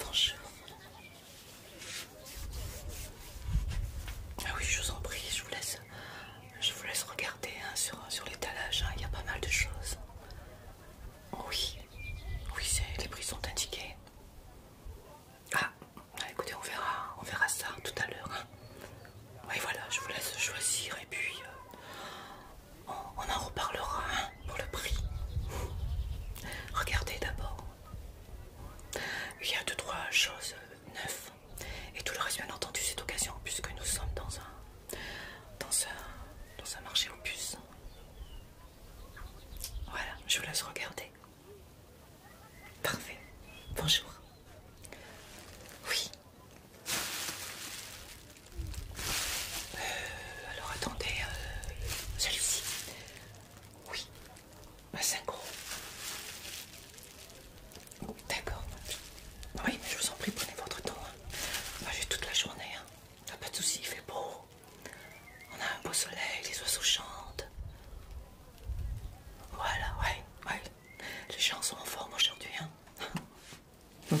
Bonjour. Ah oui, je vous en prie, je vous laisse, je vous laisse regarder hein, sur, sur l'étalage, hein, il y a pas mal de choses. Oui, oui, les prix sont indiqués. Ah, ah, écoutez, on verra, on verra ça tout à l'heure. Hein. Oui, voilà, je vous laisse choisir et puis euh, on, en reparlera hein, pour le prix. Regardez d'abord. Il y a deux, trois choses euh, neuves. Et tout le reste, bien entendu, cette occasion, puisque nous sommes dans un, dans un, dans marché aux puces. Voilà, je vous laisse regarder. Parfait. Bonjour. Oui. Euh, alors attendez, euh, celui ci Oui, un 5 D'accord. Oui, mais je vous en prie, prenez votre temps. Hein. j'ai toute la journée. Hein. pas de soucis, il fait beau. On a un beau soleil, les oiseaux chantent. Voilà, ouais, ouais. Les gens sont en forme aujourd'hui. Hein.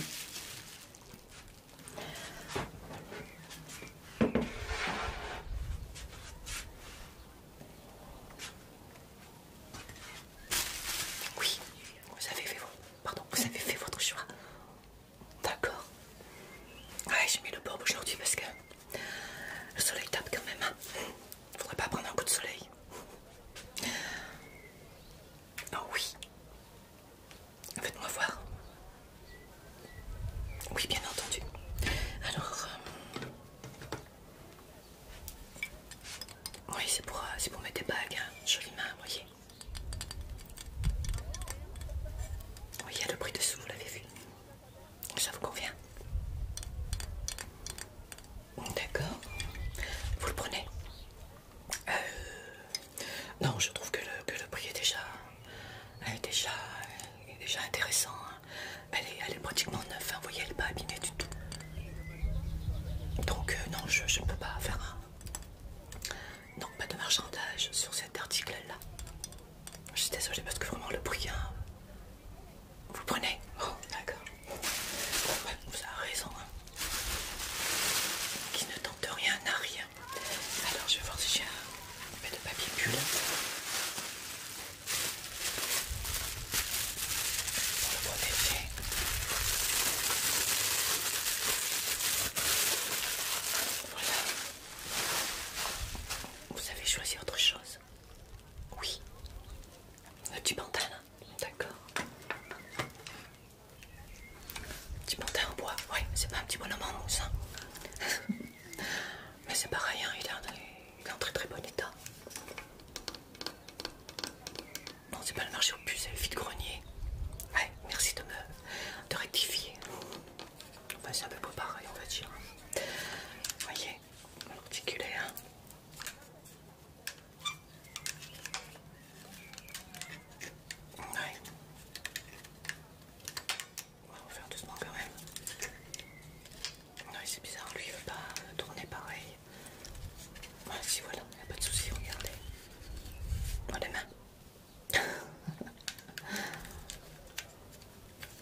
Oui, vous avez fait, pardon, vous avez fait votre choix. D'accord. Ouais, j'ai mis le bob aujourd'hui parce que le soleil tape quand même. Il hein. faudrait pas prendre un coup de soleil. Oh oui. Faites-moi voir. Oui, bien entendu. Alors, euh, oui, c'est pour, euh, c'est pour mettre des bagues. Hein. Jolie main, voyez. Oui, il y a le prix dessous, vous l'avez vu. Ça vous convient D'accord. Vous le prenez euh, non, je trouve que le, prix est déjà, est déjà, déjà intéressant. Hein. Elle, est, pratiquement neuve, hein. vous voyez, elle n'est pas abîmée du tout. Donc euh, non, je ne peux pas faire un... pas de marchandage sur cet article-là. Je suis désolée parce que vraiment le prix... Hein, vous prenez oh, d'accord. Ben, vous avez raison. Qui ne tente rien n'a rien. Alors je vais voir si j'ai un peu de papier pull. Pour le protéger. Voilà. Vous avez choisi autre chose Oui. Un petit pantalon. Hein. D'accord. Petit portail en bois, ouais, c'est pas un petit bonhomme en mousse. Hein. Mais c'est pareil, hein, il, est en, très très bon état. Non, c'est pas le marché aux puces, c'est le vide-grenier. Ouais, merci de me rectifier. Enfin, c'est un peu pareil, on va dire. Vous voyez, articulé, Ouais. On va faire doucement quand même. Ouais, c'est bizarre, lui il veut pas euh, tourner pareil. si voilà, il a pas de souci, regardez. les mains.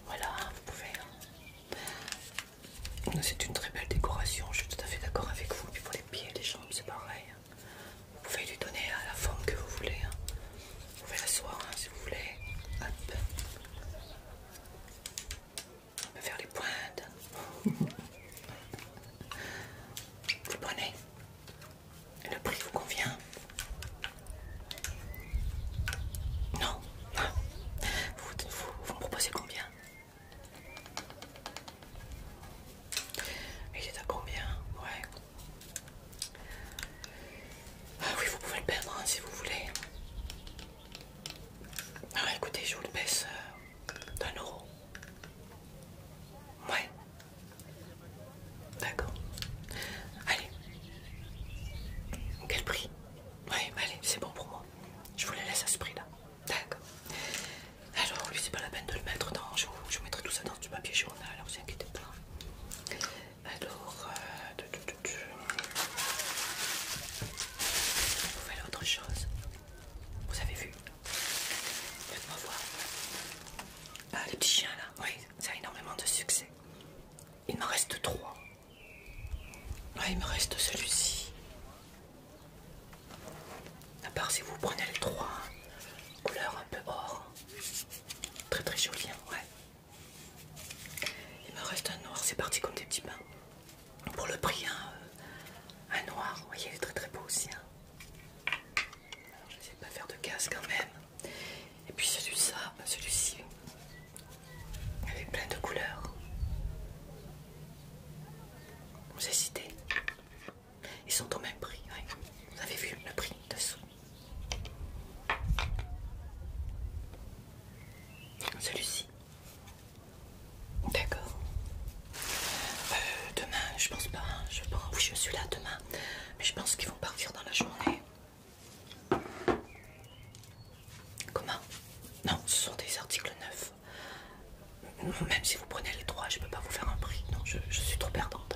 voilà, vous pouvez. Hein. C'est une très belle décoration, je suis tout à fait d'accord avec vous. Il pour les pieds les jambes, c'est pareil. Hein. Vous pouvez lui donner la forme que vous voulez. Hein. Vous pouvez l'asseoir hein, si vous voulez. On peut faire les pointes. vous le prenez. Le prix vous convient Non. Vous, me proposez combien Il est à combien Ouais. Ah oui, vous pouvez le perdre hein, si vous voulez. Alors ah, écoutez, je vous le baisse euh, d'un euro. Ouais. D'accord. Allez. Quel prix Ouais, allez, c'est bon pour moi. Je vous laisse à ce prix-là. D'accord. Alors, lui, c'est pas la peine de le mettre dans. Je vous, mettrai tout ça dans du papier journal, alors vous inquiétez pas. Alors, vous euh, autre chose Vous avez vu Faites-moi voir. Ah, là, oui, ça a énormément de succès. Il me reste trois. il me reste celui-ci. À part si vous prenez les trois, hein couleur un peu or, très très joli, hein, ouais. Il me reste un noir, c'est parti comme des petits pains. Pour le prix, hein, euh, un noir, vous voyez, il est très très beau aussi. Hein. Alors, je sais pas faire de casse quand même. Et puis celui-ci, celui-ci, avec plein de couleurs. Vous hésitez ils sont au même prix. oui. Vous avez vu le prix dessous. Celui-ci. D'accord. Euh, demain, je pense pas. Hein. Je je suis là demain. Mais je pense qu'ils vont partir dans la journée. Comment Non, ce sont des articles neufs. Même si vous prenez les trois, je peux pas vous faire un prix. Non, je, je suis trop perdante.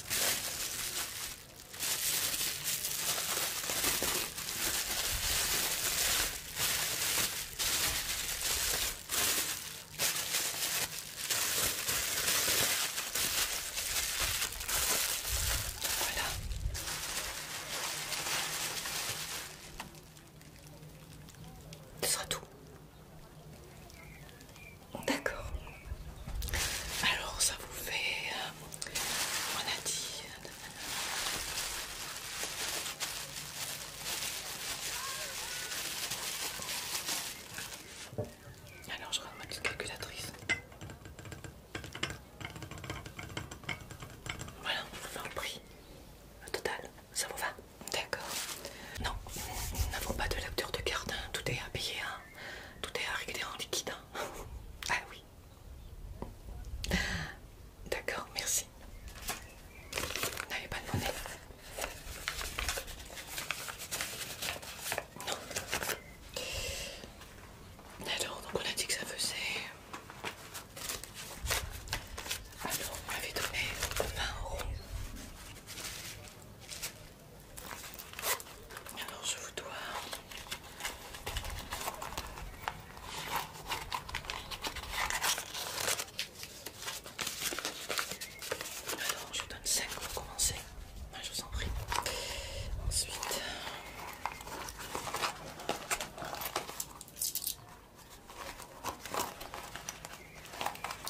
Voilà. Ce sera tout. D'accord. Alors ça vous fait... Euh, on a dit... Alors je rentre ma calculatrice. Voilà, on vous fait un prix. total, ça vous va D'accord. Non, nous n'avons pas de l'acteur de garde. Hein. tout est à payer, hein. tout est à régler en liquide. Hein. ah oui. D'accord, merci. Vous n'avez pas de monnaie Non. Alors, donc on a dit que ça faisait. Alors, on m'avait donné 20 euros. Alors je vous dois alors je donne 5 pour commencer. je vous en prie. Ensuite.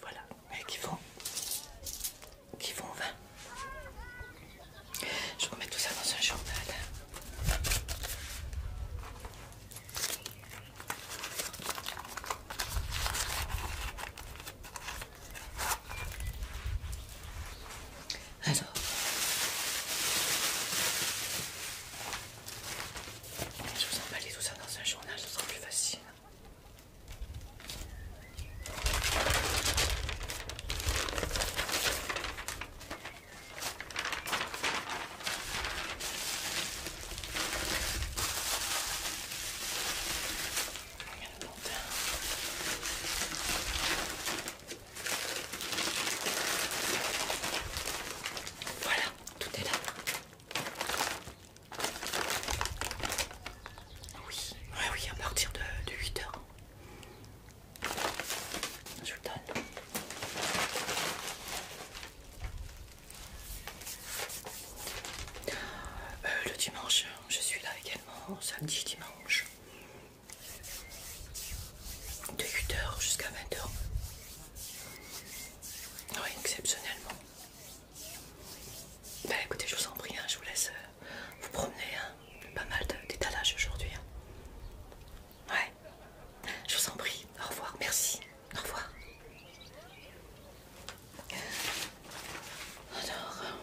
Voilà, mais qui vont, qui vont vain Je remets tout ça dans un journal. Alors, je vous emballais tout ça dans un journal, ce sera plus facile. Voilà, tout est là. Ah oui, oui, à partir de, 8 h Je le donne. Euh, le dimanche, je suis là également, samedi, dimanche. De 8h jusqu'à 20h. Oui, exceptionnellement. Bah écoutez, je vous en prie, hein, je vous laisse euh, vous promener. Hein. Pas mal d'étalage aujourd'hui. Hein. Ouais. Je vous en prie. Au revoir. Merci. Au revoir. Alors, euh,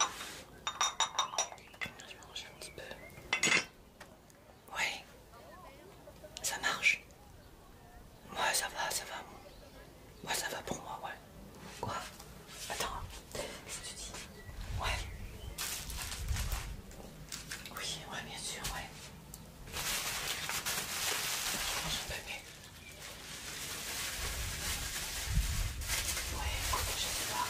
je un petit peu. Ouais. Ça marche. Ouais, ça va, ça va. Ouais, ça va pour moi, ouais. Quoi Attends, qu'est-ce que tu dis Ouais. Oui, ouais, bien sûr, ouais. Je peu papier. Ouais, écoute, je sais pas.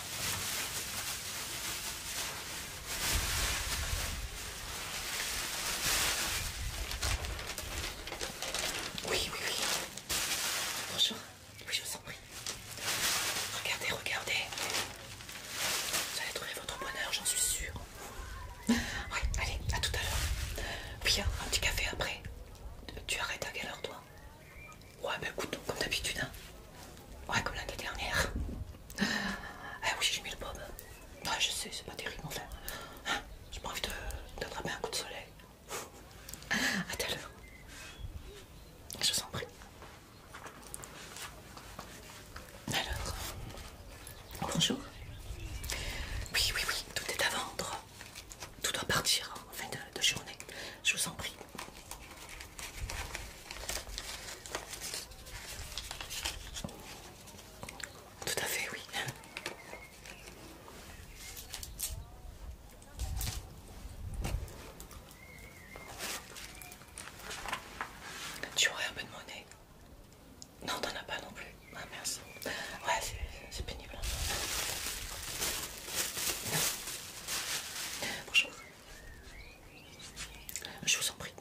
Oui, oui, oui. Bonjour. Oui, je vous en prie. Regardez, regardez. Vous allez trouver votre bonheur, j'en suis sûre. Oui, allez, à tout à l'heure. Puis hein, un petit café après. Tu arrêtes à quelle heure toi Ouais, bah écoute, comme d'habitude. Hein. Ouais, comme l'année dernière. Ah oui, j'ai mis le bob. Ouais, bah, je sais, c'est pas terrible, enfin. fait. Hein, j'ai pas envie d'attraper un coup de soleil. A tout Je vous en prie. Alors. Bonjour. Oui, oui, oui, tout est à vendre. Tout doit partir en fin de journée. Je vous en prie. Tout à fait, oui. Tu aurais un peu de monnaie Non, t'en as pas non plus. Ah, merci. Ouais, c'est pénible. Bonjour. Je vous en prie.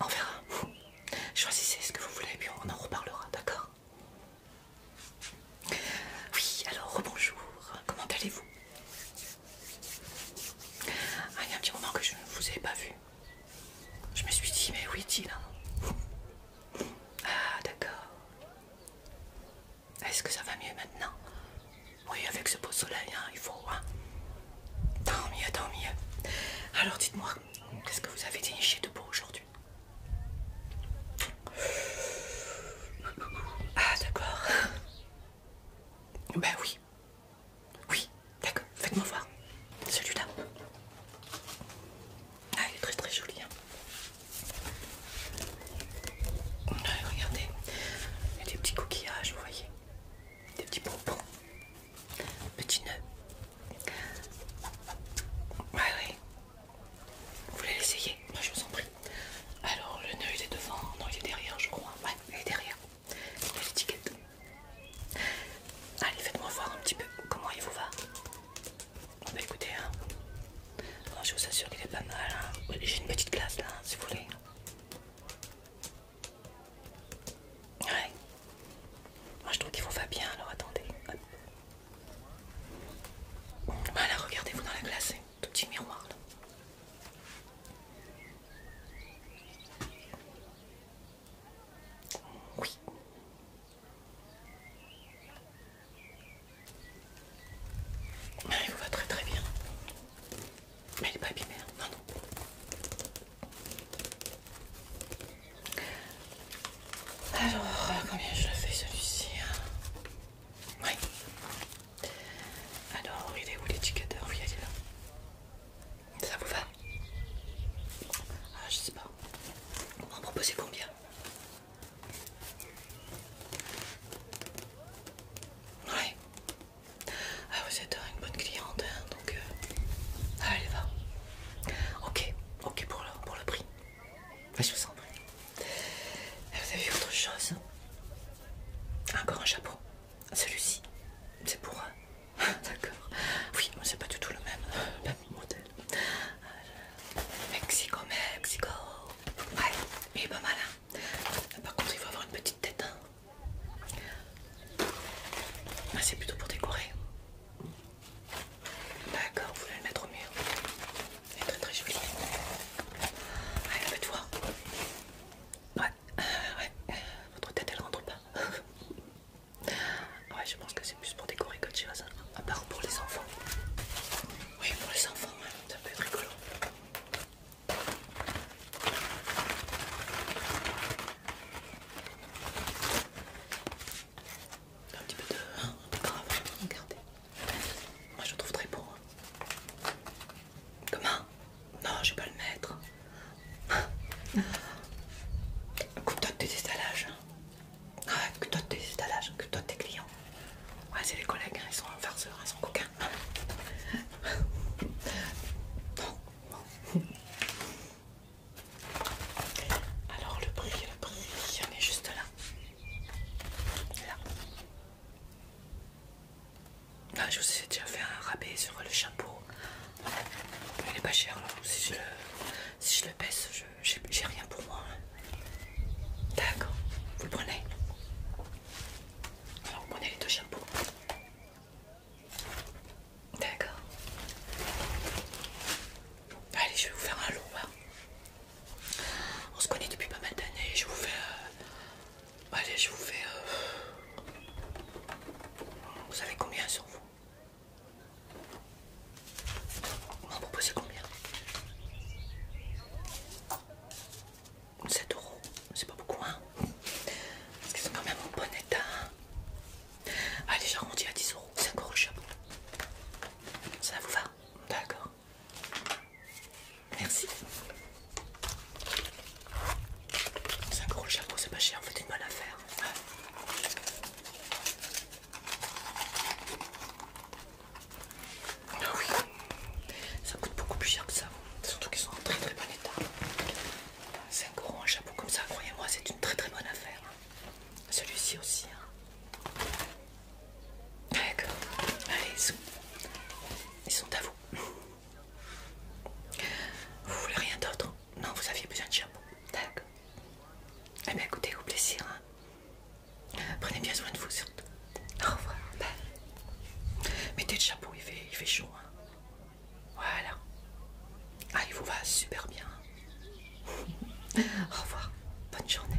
On verra. Choisissez ce que vous voulez, puis on en reparlera, d'accord Oui, alors rebonjour. Comment allez-vous ah, Il y a un petit moment que je ne vous ai pas vu. Je me suis dit, mais oui, est-il hein Ah, d'accord. Est-ce que ça va mieux maintenant Oui, avec ce beau soleil, hein, il faut. Hein Tant mieux, tant mieux. Alors dites-moi, qu'est-ce que vous avez déniché de beau aujourd'hui Ah d'accord. Ben oui. Oui, d'accord. Faites-moi voir. Celui-là. Ah, il est très très joli. Hein. Euh, regardez, il y a des petits coquillages, vous voyez, des petits pompons. Petit nœud. Ouais, Vous voulez l'essayer Moi, je vous en prie. Alors, le nœud, il est devant. Non, il est derrière, je crois. Ouais, il est derrière. Il Allez, faites-moi voir un petit peu comment il vous va. Bah écoutez, hein. je vous assure qu'il est pas mal. Hein. J'ai une petite glace là, hein, si vous voulez. Ouais. Moi je trouve qu'il vous va bien, alors attendez. Voilà, regardez-vous dans la glace, hein. tout petit miroir là. Oui. Il vous va très très bien. Mais il n'est pas épimé, non, non. Alors, combien je fais celui-ci hein Oui. Alors, il est où l'éducateur Oui, il est là. Ça vous va ah, Je sais pas. On va c'est combien Ouais. Ah, vous êtes une bonne cliente, hein, donc euh, ah, allez va. Ok, ok pour le, pour le prix. je vous en eh, Vous avez vu autre chose Encore un chapeau. Celui-ci, c'est pour. Euh, d'accord. Oui, mais c'est pas du tout le même, pas euh, même modèle. Mexico, Mexico. Ouais, il est pas mal. Hein. Par contre, il faut avoir une petite tête. Hein. Ah, c'est plutôt pour décorer. D'accord, vous voulez le mettre au mur. est très très joli. Allez, ah, la bête voir. Ouais, euh, ouais. Votre tête elle rentre pas. ouais, je pense que c'est plus pour décorer qu'autre chose. Hein. À part pour les enfants. Oui, pour les enfants, c'est hein. ça peut être rigolo. Un petit peu de, grave, regardez. Moi je le trouve très beau. Hein. Comment Non, je vais pas le mettre. Coupe-toi de tes installages. Hein. Ah, coupe-toi de tes installages, coupe-toi de tes clients. Ouais, c'est les collègues, hein, ils sont farceurs, ils sont coquins. Alors le prix, le prix, il est juste là. Là. Là, ah, je vous ai déjà fait un rabais sur le chapeau. Il est pas cher Si je le, si je le baisse, j'ai rien pour moi. D'accord, vous le prenez. Alors prenez les deux chapeaux. D'accord. Allez, je vais vous faire un lot. Hein. On se connaît depuis pas mal d'années. Je vous fais. Euh, allez, je vous fais. Euh, vous savez combien sur vous Vous m'en proposez combien 7 euros, c'est pas beaucoup, hein parce qu'ils sont quand même en bon état. Allez, j'arrondis à 10 euros. C'est encore le chapeau. Ça vous va D'accord. Merci. C'est encore le chapeau, c'est pas cher. fait, fait, une bonne affaire. Ah oui, ça coûte beaucoup plus cher que ça. Surtout qu'ils sont en très très bon état. 5 euros un chapeau comme ça, croyez-moi, c'est une très très bonne affaire. Hein. Celui-ci aussi. Hein. D'accord, allez, ils sont, à vous. Vous voulez rien d'autre Non, vous aviez besoin de chapeau. D'accord. Eh bien, écoutez, au plaisir. Hein. Prenez bien soin de vous surtout. Au revoir. Mettez le chapeau, il fait, il fait chaud. Voilà. Ah, il vous va super bien. Au revoir. Bonne journée.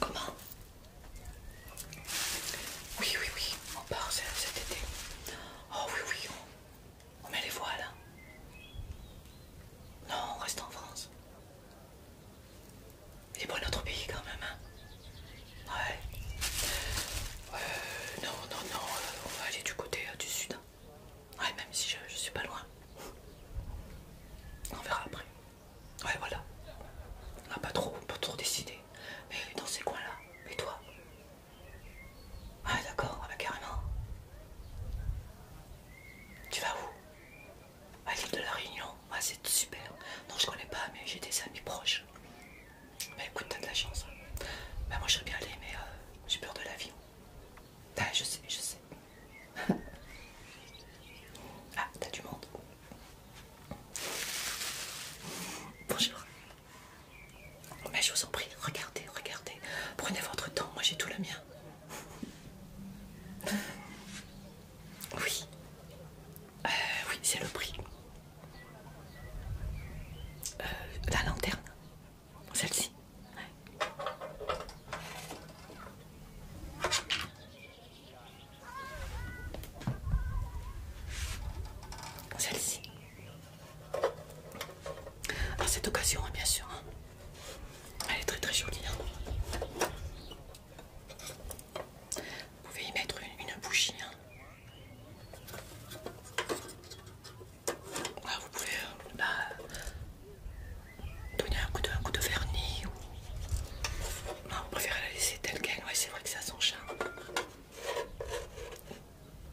Comment? Oui, oui, oui, on part cet été. Oh oui, oui, on, on met les voiles. Hein. Non, on reste en France. C'est pas notre pays quand même, hein. Ouais. Euh, non, non, non, euh, on va aller du côté euh, du sud. Hein. Ouais, même si je, je suis pas loin. On verra après. Ouais, voilà. On n'a pas trop, pas trop décidé. Mais dans ces coins-là. Et toi Ouais, ah, d'accord, ah, bah, carrément. Tu vas où à l'île de la Réunion. c'est super. Non, je connais pas, mais j'ai des amis proches. Mais écoute, t'as de la chance. Bah, moi, je bien allé, mais euh, j'ai peur de l'avion. vie. Ben, je sais, je sais. ah, t'as du monde. Bonjour. Mais ben, je vous en prie, regardez, regardez. Prenez votre temps, moi j'ai tout le mien. Oui, euh, oui, c'est le prix. Euh, la lanterne, celle-ci. Celle-ci. À cette occasion, hein, bien sûr. Hein. Elle est très très jolie. Hein. Vous pouvez y mettre une, bougie. Hein. vous pouvez euh, bah, donner un coup, de, vernis. Non, vous préférez la laisser telle qu'elle. Ouais, c'est vrai que ça a son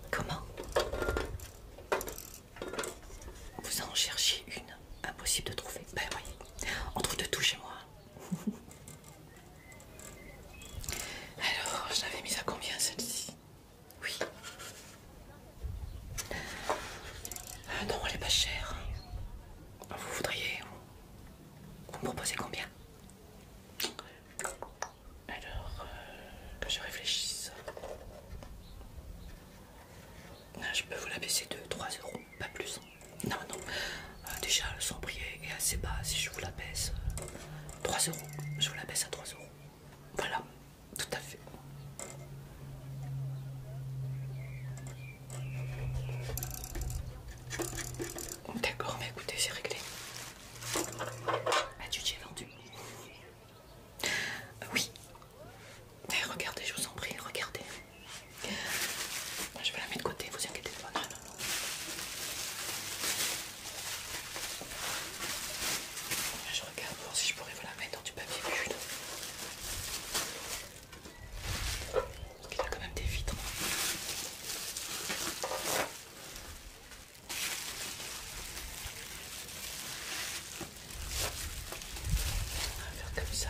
Comment Vous en cherchez une Impossible de trouver. Ben oui, on trouve de tout chez moi. Alors, je l'avais mise à combien celle-ci Oui. Euh, non, elle est pas chère. Vous voudriez. Vous me proposez combien Alors, euh, que je réfléchisse. Ah, je peux vous la baisser de 3 euros pas plus. Non, non. Euh, déjà, le sambrier est assez bas. Si je vous la baisse, 3 euh, euros. Je vous la baisse à 3 euros. Voilà, tout à fait. D'accord, mais écoutez, c'est réglé. tu ah, vendu euh, Oui. regardez, je vous en prie, regardez. Je vais la mettre de côté, vous inquiétez pas. Je regarde voir si je pourrais vous la mettre dans du papier bulle. Il a quand même des vitres. On va faire comme ça.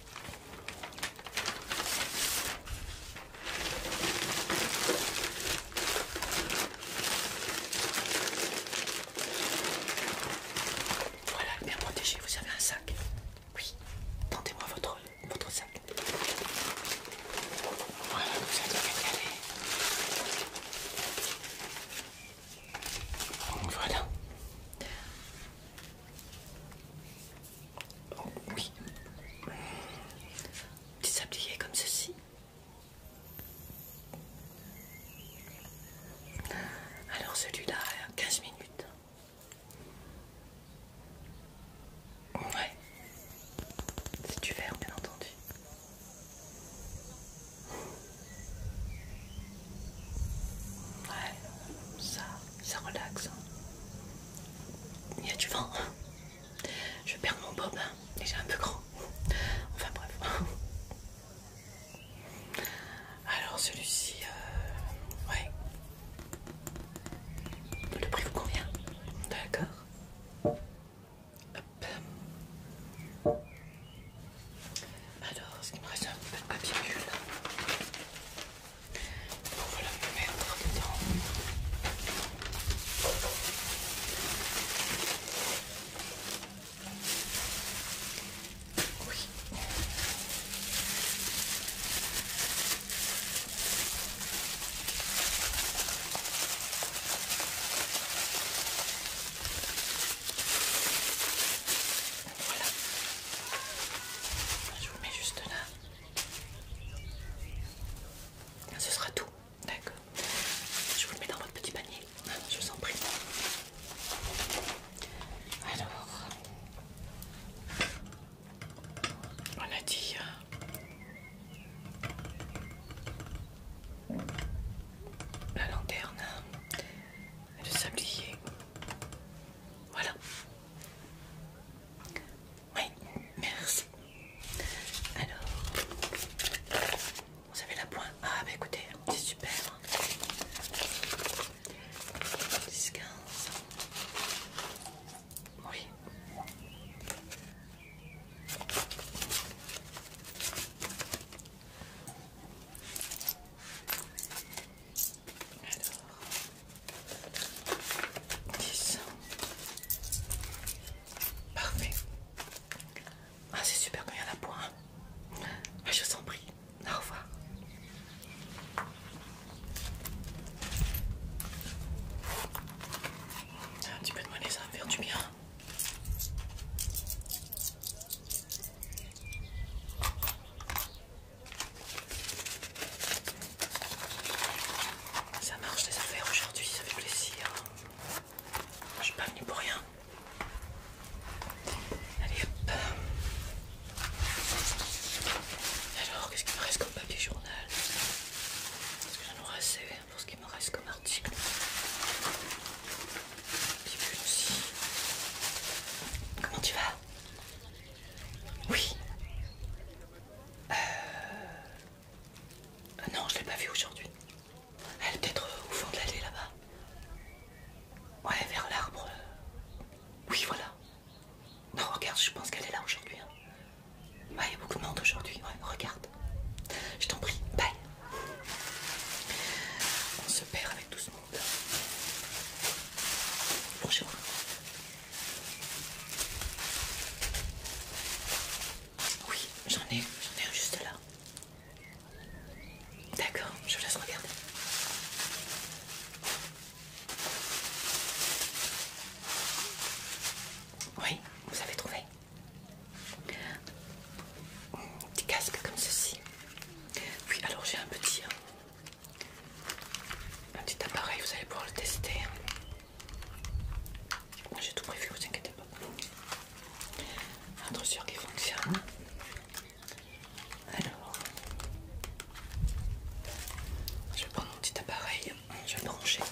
Voilà, bien protégé, vous avez un sac. Oui, tentez moi votre, votre sac. Voilà, vous Voilà. Oh, oui. Tu sablier comme ceci. Alors celui-là, 15 minutes. Ouais. C'est du verre, bien entendu. Ouais, ça, ça relaxe. Hein. Il y a du vent. Je vais perdre mon bob, déjà hein, un peu grand. Enfin bref. Alors celui-ci, euh, ouais. Le prix vous convient D'accord. Hop. Alors, ce qu'il me reste un peu de papier bulle voilà me mettre Oui. Voilà. Je vous mets juste là. Ce sera tout, d'accord. Je vous le mets dans votre petit panier, je vous en prie. Alors, on a dit. Euh, la lanterne, le sablier, voilà. Oui, merci. Alors, vous avez la pointe Ah, bah écoutez, c'est super. Oui. 10. Parfait. Ah, c'est super quand il y a ah, je vous prie. Au revoir. Un petit peu de monnaie, ça va faire du bien. Ça marche les affaires aujourd'hui, ça fait plaisir. Je suis pas venue pour rien. Allez hop. Alors, qu'est-ce qu'il me reste comme papier journal Est-ce que j'en aurai assez pour ce qu'il me reste comme article. Puis aussi. Comment tu vas Oui euh... Non, je l'ai pas vue aujourd'hui. Elle est peut-être euh, au fond de l'allée là-bas. Ouais, vers l'arbre. Oui, voilà. Non, regarde, je pense qu'elle est là aujourd'hui. Hein. il y a beaucoup de monde aujourd'hui. Ouais, regarde. Je t'en prie, bye. On se perd avec tout ce monde. Bonjour. Oui, j'en ai, j'en ai juste là. D'accord, je laisse regarder. Oui, vous avez trouvé. Des casques comme ceci. Oui, alors j'ai un petit, hein un petit appareil, vous allez pouvoir le tester. J'ai tout prévu, vous inquiétez pas. sûr qu'il fonctionne. Alors, je vais prendre mon petit appareil, je vais le brancher.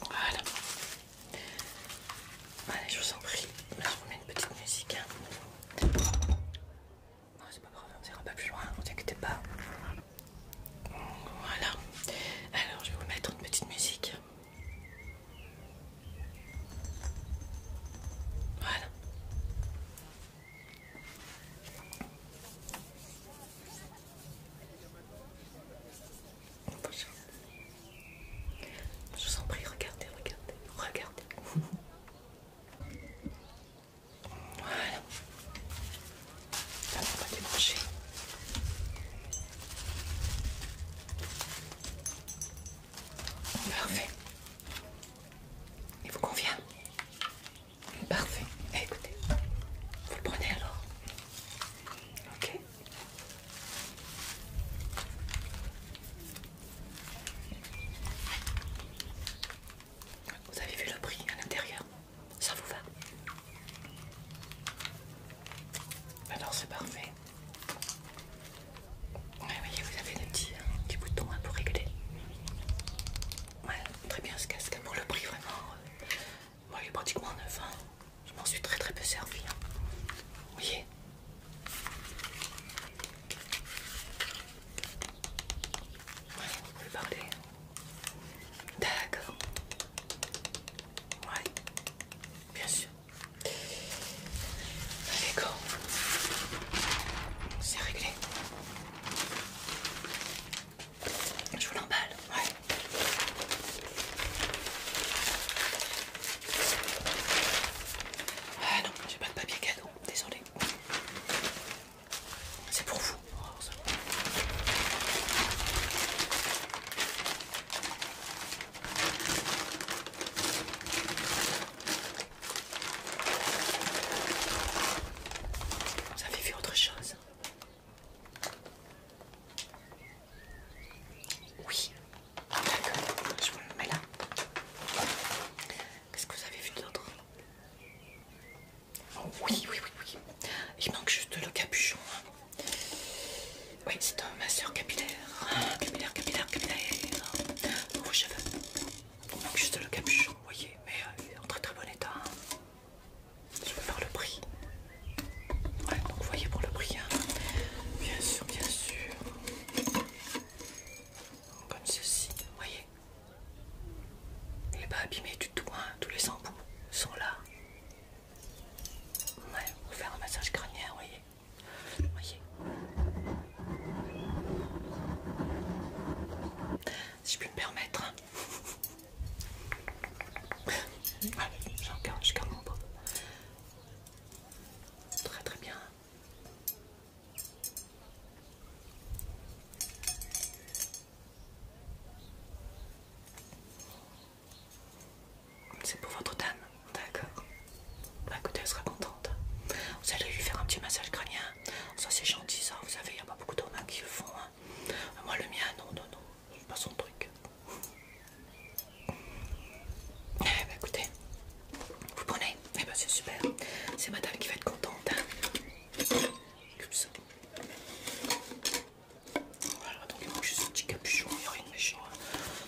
Voilà, Allez, je vous en prie. je vous mets une petite musique. Hein. Non, c'est pas grave, on ira pas plus loin, ne vous inquiétez pas. Voilà. Alors, je vais vous mettre une petite musique. Voilà. Je vous en prie, regardez, regardez, regardez. Voilà. Ça on va débrancher. Parfait. Il vous convient Parfait. Eh, écoutez, vous le prenez alors Ok. Vous avez vu le prix à l'intérieur Ça vous va Alors c'est parfait. Oui, voyez, vous avez des petits, euh, boutons hein, pour régler. très bien ce casque. Pour le prix, vraiment, euh, moi il est pratiquement neuf. ans. Hein. Je m'en suis très très peu servi. Hein. Vous voyez vous pouvez parler. D'accord. Ouais. Bien sûr. Allez, go. C'est réglé. Je vous l'emballe. Ouais. Ah non, j'ai pas de papier cadeau, désolé. C'est pour vous. ça... Vous avez vu autre chose oui, d'accord, je vous le mets là. Qu'est-ce que vous avez vu d'autre oh, Oui, oui, oui, oui. Il manque juste le capuchon. Hein. Oui, c'est un masseur capillaire. Capillaire, capillaire, capillaire. Vos cheveux. Il manque juste le capuchon, vous voyez, mais il euh, est en très très bon état. Hein. Je vais faire le prix. donc vous voyez pour le prix. Hein. Bien sûr, bien sûr. Comme ceci, vous voyez Il n'est pas abîmé du tout, hein. tous les embouts sont là. Ouais, pour faire un massage crânien, vous voyez. voyez si je peux me permettre. Allez, j'en garde, je garde mon bras. Très très bien. C'est pour votre dame, d'accord. Bah écoutez, elle sera contente. Vous allez lui faire un petit massage crânien. Ça c'est gentil ça, vous savez, il n'y a pas beaucoup d'hommes qui le font. Hein. Moi le mien, non, non, non, fais pas son truc. Eh ben écoutez, vous prenez Eh bah c'est super, c'est madame qui va être contente. Hein. Voilà, donc il manque juste un petit capuchon, il n'y a rien de méchant. Hein.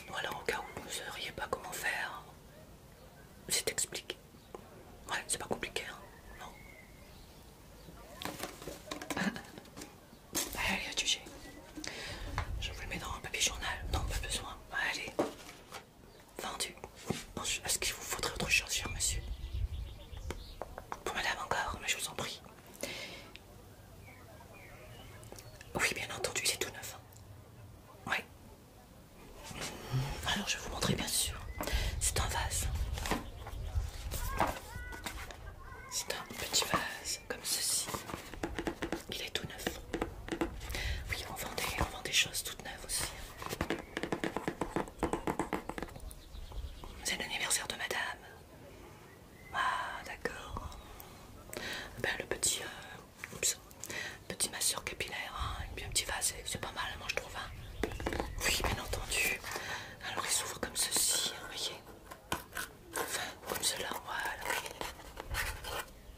Voilà, au cas où vous ne sauriez pas comment faire, c'est expliqué. Ouais, c'est pas compliqué, hein, non Allez, tu tuer. Je vous le mets dans un papier journal. Non, pas besoin. Allez. Vendu. Est-ce qu'il vous faudrait autre chose, cher monsieur Pour madame encore, mais je vous en prie. Oui, bien entendu, c'est tout neuf. Hein. Oui. Alors, je vais vous montrer, bien sûr. C'est un vase. C'est un petit vase, comme ceci. Il est tout neuf. Oui, on vend des, vend des choses toutes neuves aussi. C'est l'anniversaire de madame. Ah, d'accord. Ben, le petit. Euh, petit masseur capillaire, hein. il un petit vase, c'est pas mal, moi je trouve. Hein. Oui, bien entendu. Alors, il s'ouvre comme ceci, vous voyez. comme cela, voilà. Alors,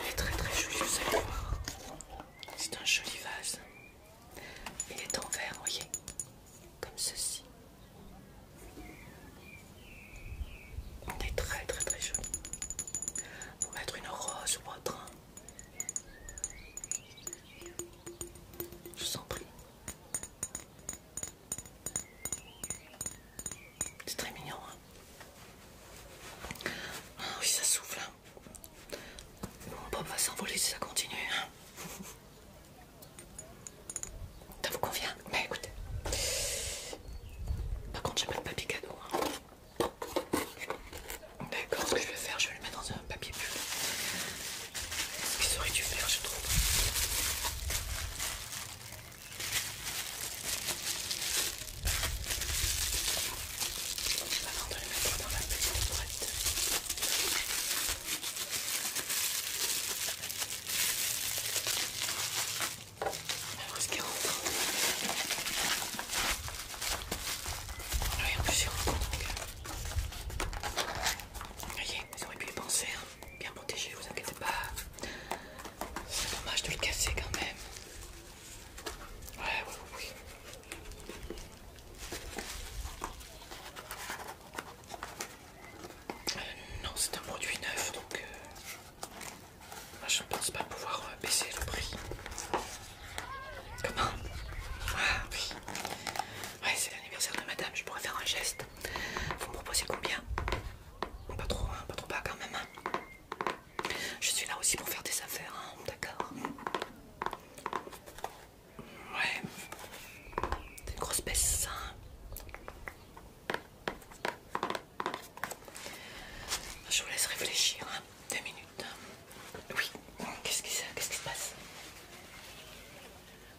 il est très très joli, vous allez voir. C'est un joli vase. Il est en verre, voyez, comme ceci. il est très très très joli. Pour mettre une rose ou autre, je vous en prie. C'est très mignon, hein. Ah oui, ça souffle. Hein. Mon pop va s'envoler si ça continue. Hein. ça vous convient Mais bah, écoutez. Par contre, j'ai pas de papier cadeau. D'accord, ce que je vais faire, je vais le mettre dans un papier bulle. Ce qu'ils auraient dû faire, je trouve. Avant de le mettre dans la petite boîte. Alors, est-ce qu'il rentre il euh, y a plusieurs Vous voyez, ils pu les penser, hein. bien protégé, vous inquiétez pas. C'est dommage de le casser quand même. Ouais, ouais, oui. Euh, non, c'est un produit neuf donc euh, moi, je ne pense pas pouvoir baisser le prix. Comment Ah oui. Ouais, c'est l'anniversaire de madame, je pourrais faire un geste. Vous me proposez combien Pas trop, hein, pas trop bas quand même. Hein. Je suis là aussi pour faire des affaires, hein, d'accord Ouais. C'est une grosse baisse, hein. Je vous laisse réfléchir, hein. minutes. Oui, qu'est-ce qui, se passe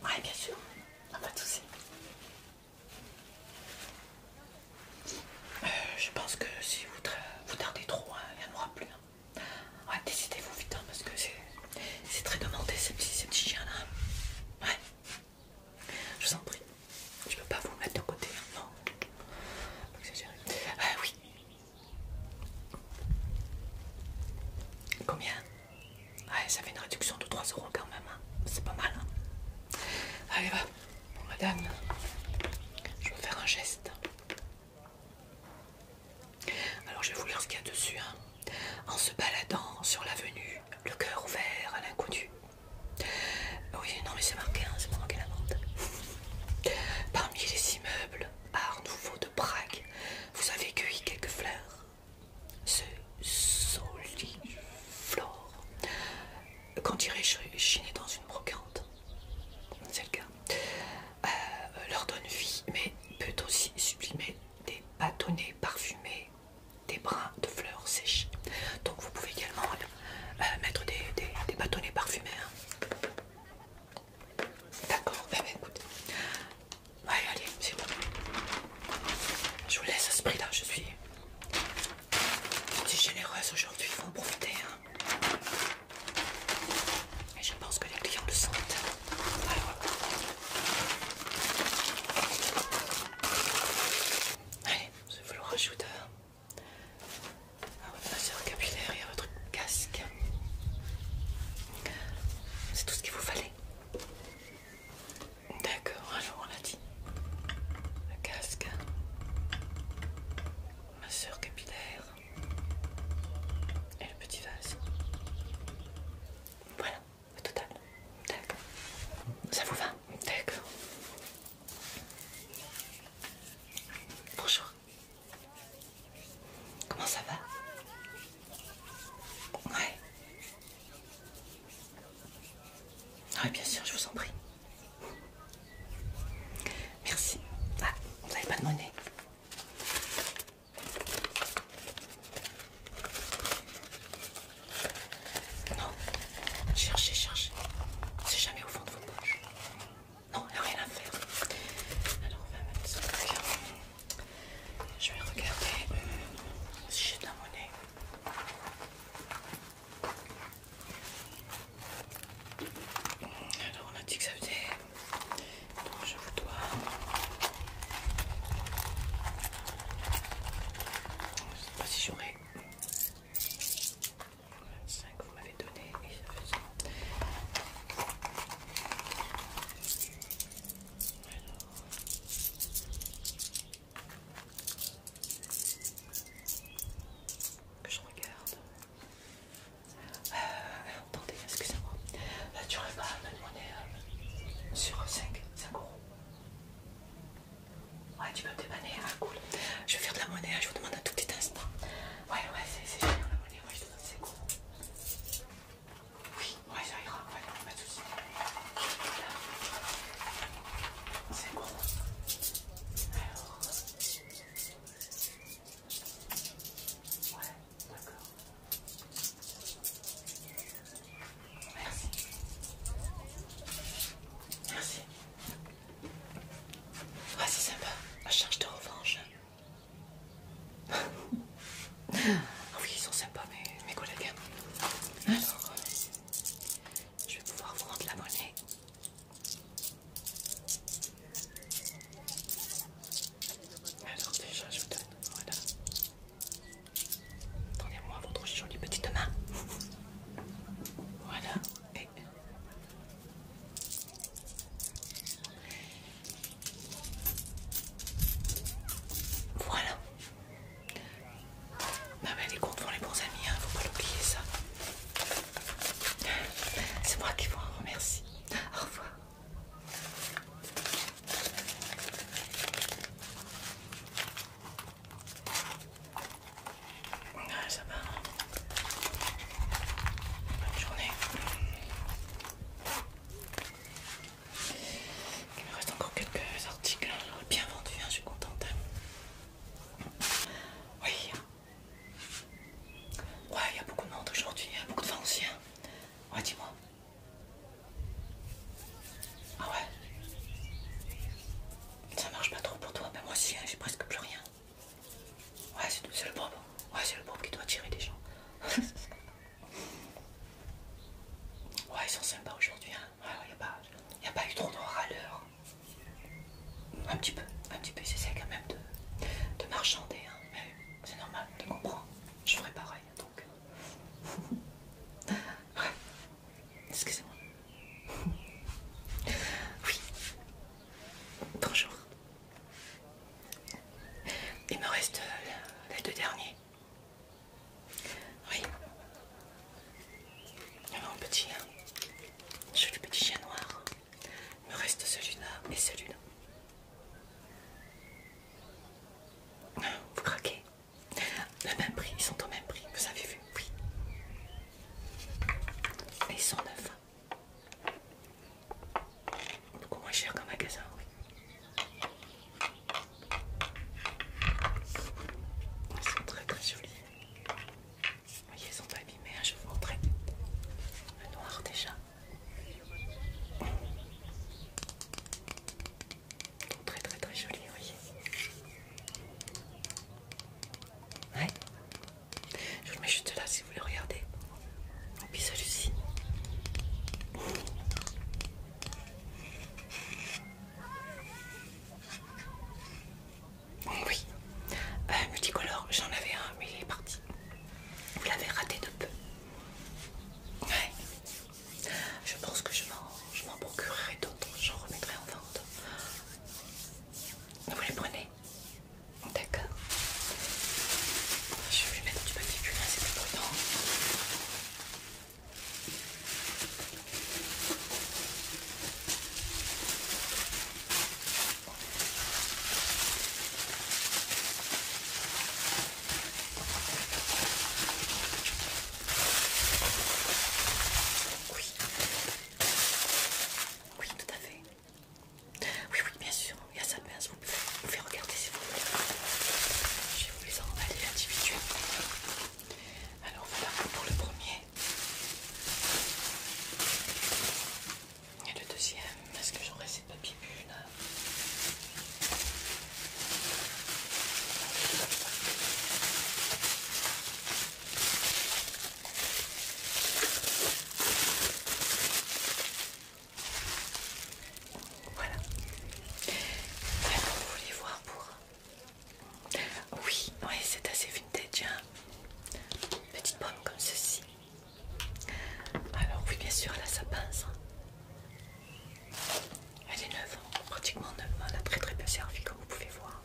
Oui, bien sûr, pas de soucis. je pense que si vous, tardez trop, hein, il n'y en aura plus. Hein. décidez-vous vite, hein, parce que c'est très demandé ces petits, chiens là. Ouais. Je vous en prie. Je ne peux pas vous mettre de côté. Non. Euh, oui. Combien Ah, ça fait une réduction de 3 euros quand même. Hein. C'est pas mal. Hein. Allez, va. madame, je vais faire un geste. Alors, je vais vous lire ce qu'il y a dessus. Hein. En se baladant sur l'avenue, le cœur ouvert à l'inconnu. Oui, non, mais c'est marqué, c'est pas marqué la vente. Parmi les immeubles, Art nouveau de Prague. Vous avez cueilli quelques fleurs. Ce soliflore. Quand est chiné dans une brocante C'est le cas. Euh, leur donne vie, mais peut aussi sublimer des bâtonnets parfumés, des brins de fleurs séchées. Donc vous pouvez également euh, mettre des, bâtonnets parfumés. Hein. D'accord, bah écoute. Ouais, allez, c'est bon. Je vous laisse à ce prix-là, je suis... généreuse aujourd'hui, il faut en profiter. Hein. Et je pense que les clients le sentent. Allez, je vous le rajoute à ah votre masseur capillaire et à votre casque. C'est tout ce qu'il vous fallait. D'accord, un jour on l'a dit. Le casque, masseur capillaire et le petit vase. Voilà, le total. D'accord. Ça vous va D'accord. Bonjour. Comment ça va Ouais. Oui, bien sûr, je vous en prie. Merci. Ah, vous n'avez pas de monnaie. Non, cherchez, cherchez. C'est jamais au fond de vos poches. Non, il n'y a rien à faire. Alors on va mettre ça. Je vais regarder euh, si j'ai de la monnaie. Alors on a dit que ça faisait. Donc je vous dois. Je ne sais pas si j'aurai. 5, vous m'avez donné et ça fait ça. que je regarde. Euh, attendez, excusez-moi. Euh, tu n'aurais pas de monnaie euh, sur 5, 5 euros. Ouais, tu peux me dépanner, ah, cool. Je vais faire de la monnaie, hein, je vous demande un tout petit instant. Ouais, ouais, c'est génial la monnaie. Oui, c'est bon. Oui, ouais, ça ira, de soucis. C'est bon. Alors. Ouais, d'accord. Merci. Merci. c'est sympa. La charge de revanche ah oui, ils sont sympas mes, collègues. Alors, euh, je vais pouvoir vous rendre la monnaie. Alors déjà, je vous donne, voilà. Attendez-moi votre jolie petite main. Voilà, et voilà. les comptes font les bons amis, ne hein, faut pas l'oublier ça. C'est moi qui vous remercie. Au revoir. Ah, hein. Bonne journée. Il me reste encore quelques articles. Hein. Bien vendu, hein, je suis contente. Oui. Hein. Ouais, il y a beaucoup de monde aujourd'hui, il y a beaucoup de vent aussi. Ouais, dis-moi. Ah ouais Ça marche pas trop pour toi, Mais moi aussi, j'ai presque plus rien. Ouais, c'est le pauvre, Ouais, c'est le pauvre qui doit tirer des gens. ouais, ils sont sympas aujourd'hui. il hein. n'y a, pas eu trop de râleurs. Un petit peu, un petit peu. Ils essaient quand même de, marchander. Hein. Mais c'est normal, tu comprends, Je ferai pareil. Donc. ouais. Excusez-moi. oui. Bonjour. Il me reste euh, les deux derniers. Oui. Mon petit, du hein. petit chien noir. Il me reste celui-là et celui-là. Vous craquez Le même prix, ils sont au même prix, vous avez vu Oui. Et ils sont neufs. Beaucoup moins cher qu'un magasin, oui. Ils sont très très jolis. Vous voyez, elles sont pas hein, je vous montre. Le noir déjà. très très très jolis, voyez. Ouais. Je vous le mets juste là si vous voulez regardez. Et puis celui-ci. Oui, euh, multicolore, j'en avais un, mais il est parti. Vous l'avez raté de peu. Ouais. Je pense que je m'en procurerai d'autres, j'en remettrai en vente. Vous les prenez D'accord. Je vais mettre du papier cuir, c'est plus bruyant. Oui, oui, tout à fait. Oui, oui, bien sûr, il y a ça, de Vous pouvez regarder si vous voulez. Je vais vous les envoyer individuellement. Alors voilà pour le premier. Et le deuxième, est-ce que j'aurai ces papiers bulles hein. Voilà. Vous voulez voir pour Oui, oui c'est assez vintage. tiens. Hein. Petite pomme comme ceci. Alors oui, bien sûr, là ça pince. Hein. Elle est neuve, hein. pratiquement neuve. Elle a très très bien servi, comme vous pouvez voir,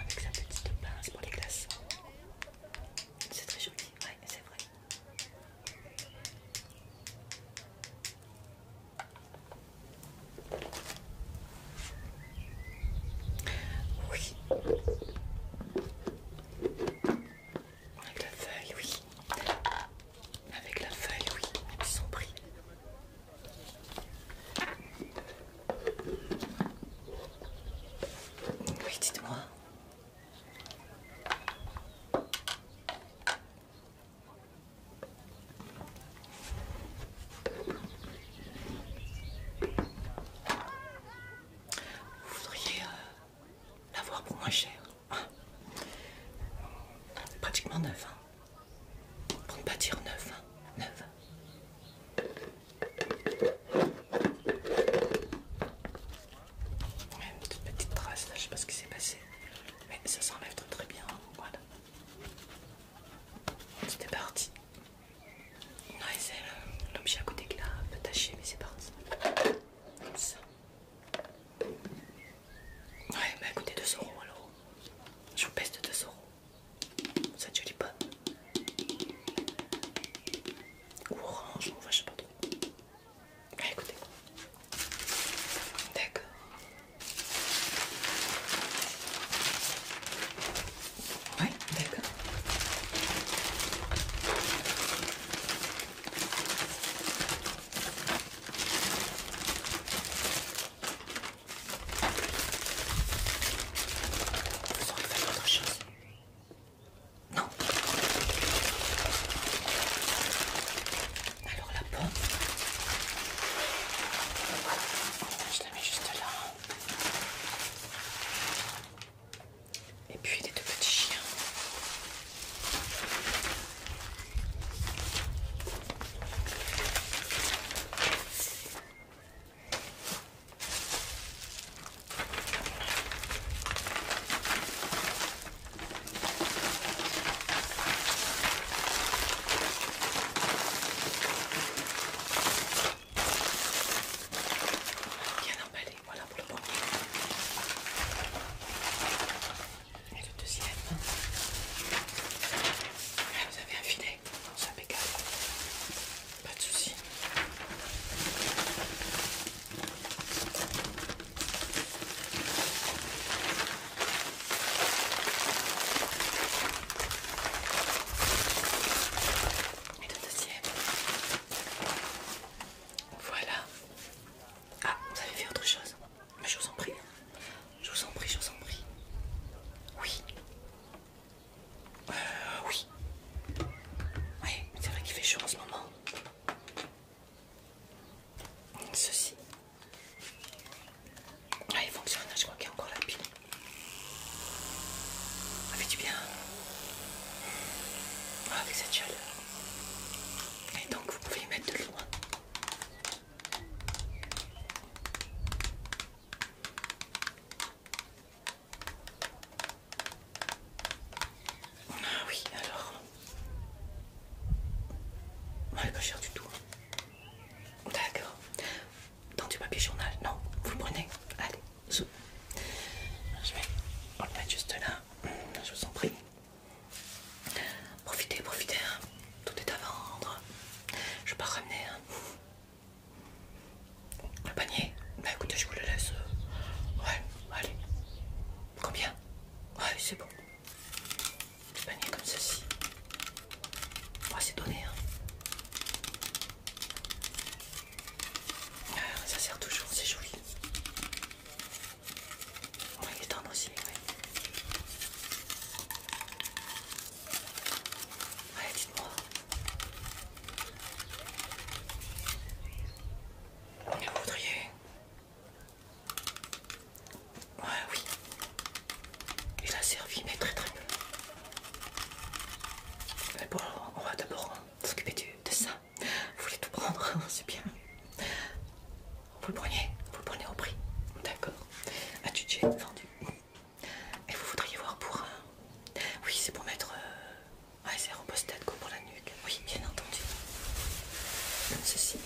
avec sa petite pince pour les glaçons. C'est très joli, oui, c'est vrai. Oui. Avec la feuille, oui. Avec la feuille, oui. Ils sont pris. Oui, dites-moi. Vous voudriez euh, l'avoir pour moins cher. Pratiquement neuf. Hein. Pour ne pas dire neuf. Hein. Neuf. Même une petite trace là, je sais pas ce qui s'est passé, mais ça s'enlève très très bien. Hein, voilà, c'était parti. Non, c'est euh, l'objet à côté qui l'a un peu taché, mais c'est parti. Comme ça. Ouais, mais écoutez, 2 euros alors. Je vous pèse de 2 euros. Ça ne jolie pas. Orange, ou je sais pas trop. Ah, écoutez. D'accord. d'accord. chose. Non. Alors la pomme. Je la mets juste là. Et puis les deux petits chiens. Bien emballé, voilà pour le premier. Et le deuxième. vous avez un filet, ça impeccable. Pas de soucis. Et le Voilà. Ah, vous avez fait autre chose. Mais je vous en prie. Je vous en prie, je vous en prie. Oui. Euh, oui. Oui, c'est vrai qu'il fait chaud en ce moment. Ceci. Ah, il fonctionne, hein, je crois qu'il y a encore la pile. Ça fait du bien. Ah, avec cette chaleur. Et donc, vous pouvez y mettre de loin. Ah oui, alors. Oh, elle est pas chère du tout. Hein. D'accord. Dans du papier journal. Non, vous le prenez. Allez, je vais. le juste là. Hmm, je vous en prie. Profitez, profitez. Hein. Tout est à vendre. Je vais pas ramener. Hein. Le panier Bah écoutez, je vous le laisse. Euh, ouais, allez. Combien Ouais, c'est bon. Le panier comme ceci. Ouais, oh, c'est donné. Hein. Ah, ça sert toujours, c'est joli. On il est tendre aussi, Ouais, dites-moi. Vous voudriez Ouais, oui. Il a servi, mais très très peu. Mais bon, on va d'abord s'occuper de ça. Vous voulez tout prendre, c'est bien. Vous le prenez, vous le prenez au prix. D'accord. Un budget vendu. Et vous voudriez voir pour un... Oui, c'est pour mettre euh, ah, c'est repose-tête pour la nuque. Oui, bien entendu. Comme ceci.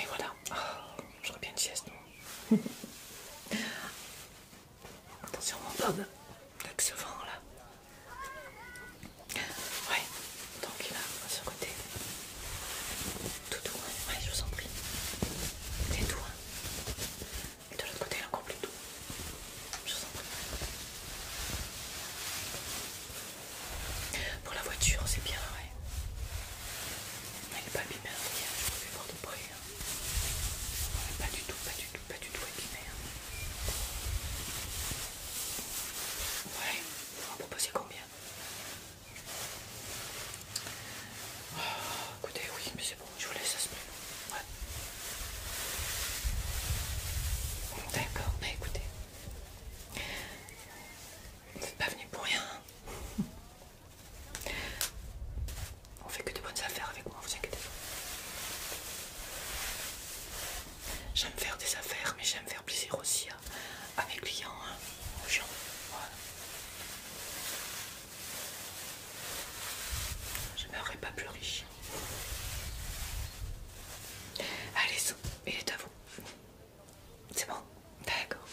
Et voilà. Ah, j'aurais bien une sieste, non Attention mon Bob, avec ce vent là. Ouais, donc il à ce côté. Tout doux, ouais, je vous en prie. est doux, hein. Et de l'autre côté, il est encore plus doux. Je vous en prie. Pour la voiture, c'est bien, ouais. il n'est pas bimère, je je vous voir de près. Hein. pas du tout, pas du tout, pas du tout abîmé. Hein. Ouais, on va proposer combien ah, écoutez, oui, mais c'est bon, je vous laisse ce ouais. D'accord, mais écoutez. Vous n'êtes pas venu pour rien. Hein. On fait que de bonnes affaires avec moi, vous inquiétez pas. J'aime faire des affaires, mais j'aime faire plaisir aussi hein à mes clients, hein, gens. Voilà. Je n'aurais pas plus riche. Allez, il est à vous. C'est bon D'accord.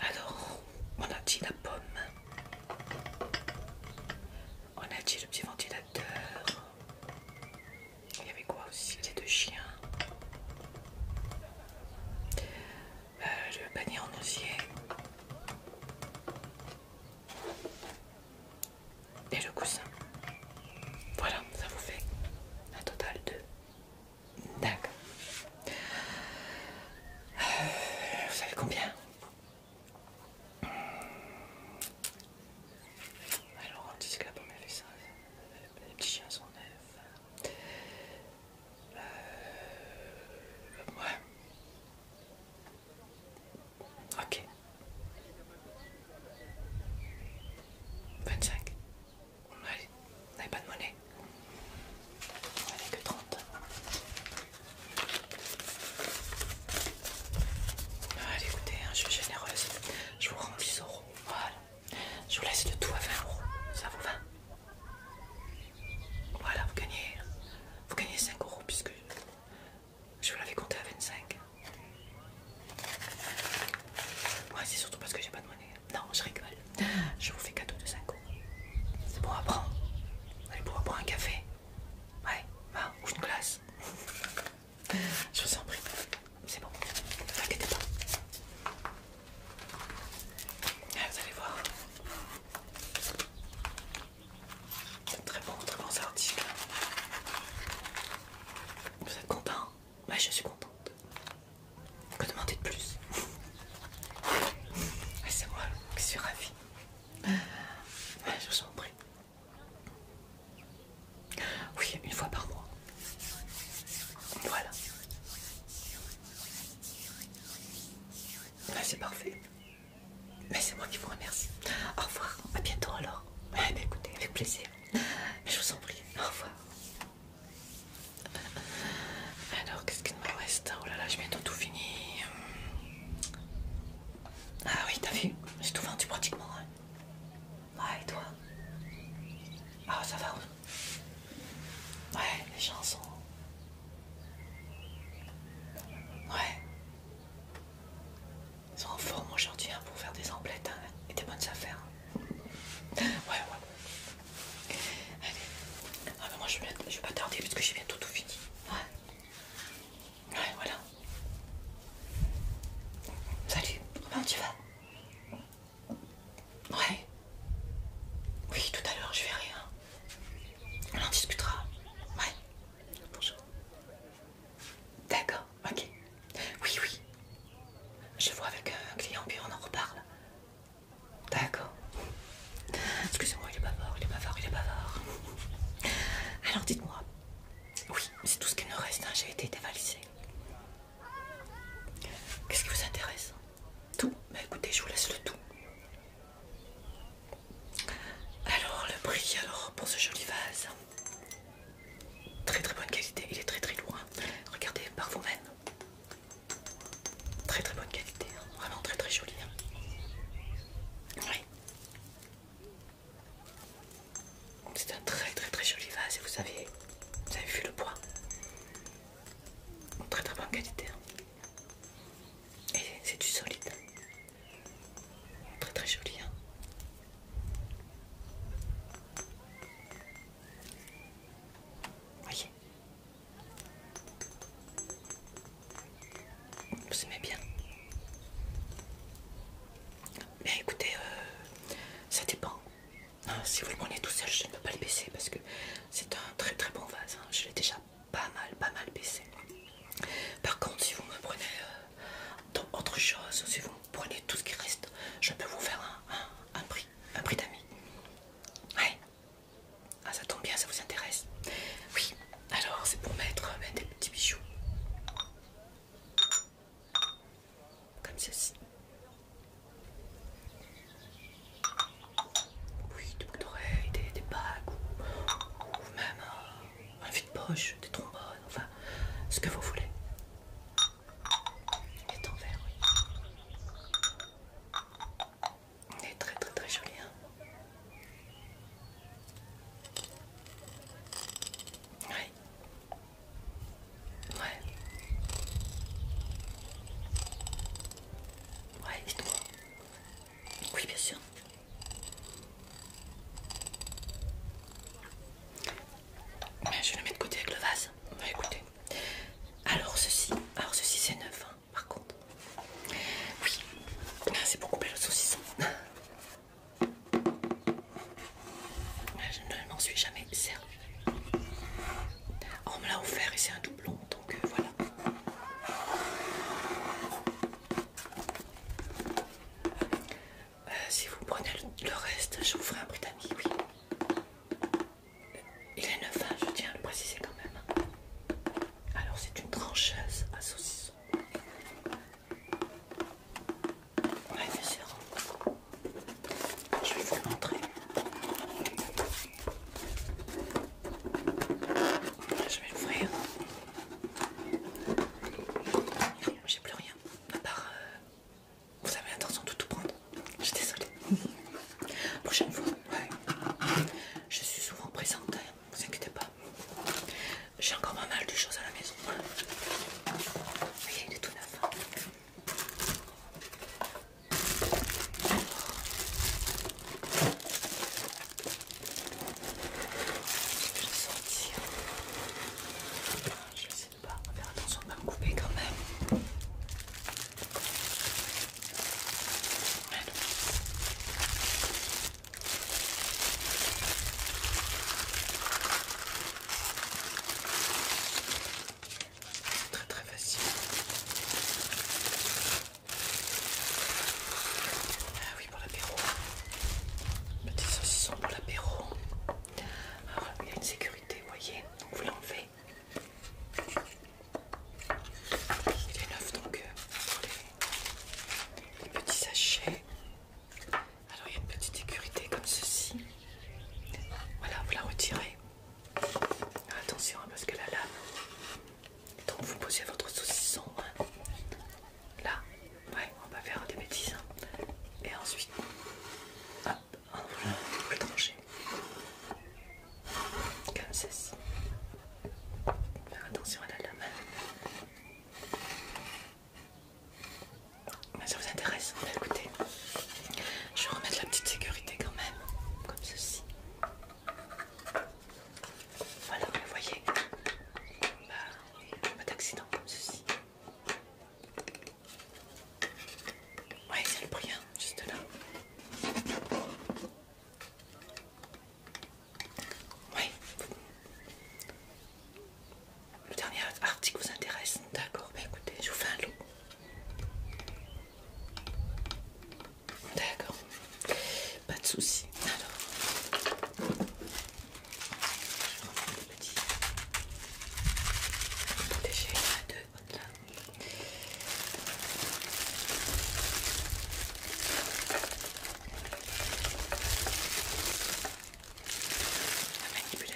Alors, on a dit la pomme. On a dit le petit ventilateur. Il y avait quoi aussi Les deux chiens. Euh, le panier en osier. Et le coussin. Voilà, ça vous fait un total de... D'accord. Euh, vous savez combien alors on dit que la pomme elle les petits chiens sont neufs. Euh, ouais. Ok. 25. Allez, on n'avait pas de monnaie. On n'avait que 30. Allez, écoutez, hein, je suis généreuse. Je vous rends 10 euros. Voilà. Je vous laisse le tout à 20 euros. Ça vaut 20 Voilà, vous gagnez, vous gagnez 5 euros puisque je vous l'avais compté à 25. Moi c'est surtout parce que j'ai pas de monnaie. Non, je rigole. Je vous fais cadeau de 5 euros. C'est pour apprendre. prendre. allez pouvoir boire un café. Ouais, va, ou une glace. je vous en prie c'est bon, ne vous inquiétez pas. Ah, vous allez voir. c'est Très bon, très bon article. Vous êtes content Moi bah, je suis contente. Que demander de plus ah, C'est moi qui suis ravie. Ah, je vous en prie. Oui, une fois par mois. Voilà. Bah, c'est parfait. Mais bah, c'est moi qui vous remercie. Au revoir. À bientôt alors. Eh écoutez, avec plaisir. je vous en prie. Au revoir. Alors, qu'est-ce qu'il me reste Oh là là, je vais tout fini. Ah oui, t'as vu J'ai tout vendu pratiquement. Hein. Ouais, et toi Ah, ça va Ouais, les chansons. Ouais. Ils sont en forme aujourd'hui hein, pour faire des emplettes hein, et des bonnes affaires. Ouais, ouais. Allez. Ah, mais moi je vais, je vais pas tarder parce que j'ai bientôt tout fini. Ouais. Ouais, voilà. Salut. Comment tu vas Ouais. Oui, tout à l'heure, je verrai. rien. Hein. On en discutera. Ouais. Bonjour. D'accord, ok. Oui, oui. Je vois avec euh, un client, puis on en reparle. D'accord. Excusez-moi, il est bavard, il est bavard, il est bavard. Alors dites-moi. Oui, c'est tout ce qu'il nous reste. Hein. J'ai été dévalisé. Qu'est-ce qui vous intéresse Tout Bah écoutez, je vous laisse le tout. Alors le prix alors pour ce joli vase. Très très bonne qualité, il est très très lourd. Hein. Regardez par vous-même. Très très bonne qualité, hein. vraiment très très joli. Hein. Oui. C'est un très très très joli vase et vous avez, vous avez vu le poids Très très bonne qualité. Hein. Et c'est du solide. Très très joli. Vous hein. Voyez. Vous aimez bien. Bien écoutez, euh, ça dépend. Si vous voulez prenez tout seul, je ne peux pas le baisser parce que c'est un très très bon vase. Hein. Je l'ai déjà pas mal, pas mal baissé. Par contre, si vous me prenez euh, autre chose, si vous me prenez tout ce qui reste, je peux vous faire un, prix, un prix d'amis. Ouais. Ah, ça tombe bien, ça vous intéresse. Oui, alors c'est pour mettre, mettre euh, des petits bijoux comme ceci. Oui, des boucles d'oreilles, des, bacs bagues ou, même un, un vide-poche, des trombones, enfin ce que vous voulez. Il est en verre, oui. Il est très très très joli, hein Oui. Ouais. Ouais, dites-moi. Oui, bien sûr. Je vais le mettre de côté avec le vase. Bah, écoutez. Alors ceci. Alors ceci c'est neuf, hein, par contre. Oui. Ah, c'est pour couper le saucisson. Je ne m'en suis jamais servi. On me l'a offert et c'est un doublon, donc euh, voilà. Euh, si vous prenez le, reste, je vous ferai un Britannique, oui. Il est neuf, hein, je tiens à le préciser quand même. Alors c'est une trancheuse à saucisson. Oui, bien sûr. Je vais vous le montrer. Je vais l'ouvrir. J'ai plus rien, à part. Euh, vous avez l'intention de tout prendre Je suis désolée. Prochaine fois, Je suis souvent présente, Ne hein. vous inquiétez pas. J'ai encore pas mal de choses à la maison. Vous voyez, il est tout neuf. Je vais sortir. Je sais essayer de pas faire attention de pas me couper quand même. Très très facile. Ah oui, pour l'apéro. Petit saucisson pour l'apéro. Alors, il y a une sécurité, vous voyez. Donc vous l'enlevez. Il est neuf donc euh, pour les petits sachets. Alors il y a une petite sécurité comme ceci. Voilà, vous la retirez. Attention hein, parce que la lame. Donc vous posez votre saucisson. Hein. Là, ouais, on va faire des bêtises. Hein. Et ensuite, hop, on va trancher. Comme ceci. Faire attention à la lame. Bah, ça vous intéresse bah, Écoutez, je vais remettre la petite sécurité quand même, comme ceci. Voilà, vous voyez, bah, pas d'accident comme ceci. Ouais, c'est le prix, hein, juste là. Oui, le dernier article vous intéresse D'accord, bah écoutez, je vous fais un lot. D'accord, pas de soucis. Alors, je vais prendre le petit à deux. voilà. La manipulation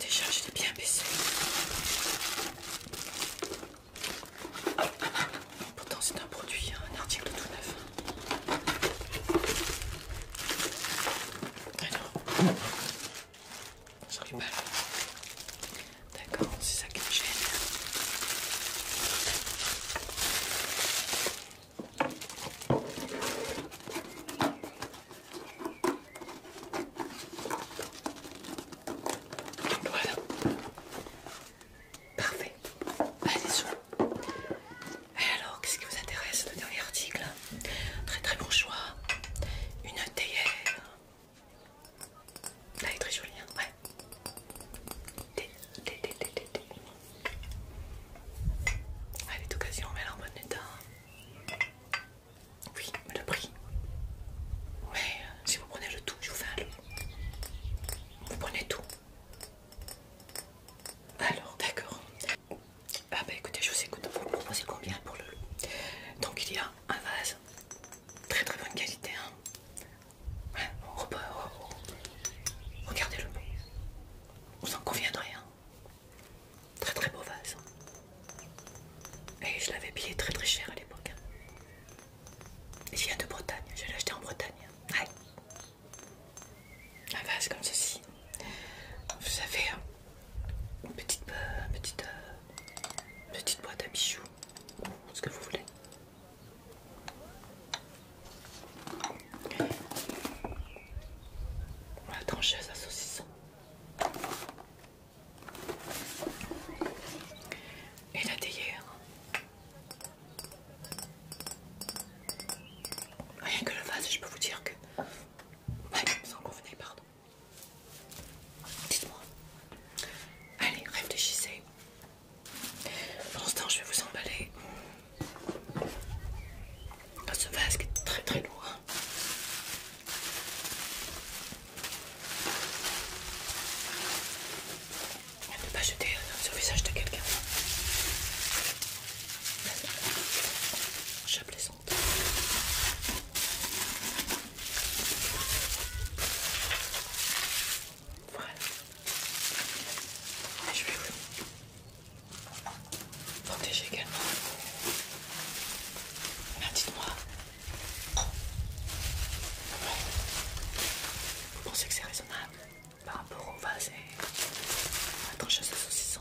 Déjà, je bien baissé. Pourtant, c'est un produit, hein, un article tout neuf. Alors, ça rigole. D'accord, c'est ça qui me gêne. Voilà. Parfait. Allez, y Et alors, qu'est-ce qui vous intéresse Le dernier article. Très très bon choix. Une théière. Elle est très jolie, hein ouais. Thé, thé, thé, thé, thé, ah, Elle est d'occasion, mais elle en bon état. Oui, le prix. Mais, euh, si vous prenez le tout, je vous fais un Vous prenez tout. Alors, d'accord. Ah bah écoutez, je vous écoute. Vous proposez combien pour le Donc il y a un vase, très très bonne qualité. Hein. Hein, Regardez le Vous en conviendrez. Hein Très très beau vase. Hein. Et je l'avais payé très très cher à l'époque. Hein. Il vient de Bretagne, je l'ai acheté en Bretagne. Un vase comme ceci. Vous avez hein, petite, euh, petite, euh, petite boîte à bijoux, ce que vous voulez. La trancheuse à saucisson et la théière. Rien que le vase, je peux vous dire que... Ouais, sans convenez, pardon. Dites-moi. Allez, réfléchissez. Pour l'instant, je vais vous emballer dans ce vase qui est très très lourd. Hein ne pas jeter euh, sur le visage de quelqu'un. Chape les Voilà. Et je vais vous protéger également. Dites-moi, vous pensez que c'est raisonnable par rapport au vase et à la de saucisson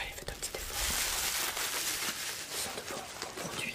Allez, faites un petit effort. Ce sont de bons, produits.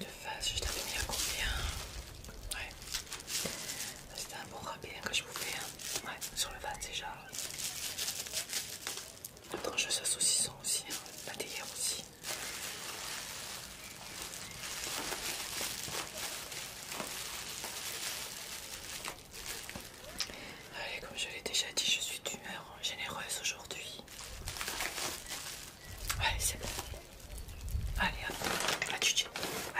De face, je t'avais mis à combien Ouais. C'était un bon rapide que je vous fais. Hein. Ouais, sur le vase déjà. le tranche de saucisson aussi, la hein. théière aussi. Allez, comme je l'ai déjà dit, je suis d'humeur généreuse aujourd'hui. Allez, c'est bon. Allez, hop, à tchitchi,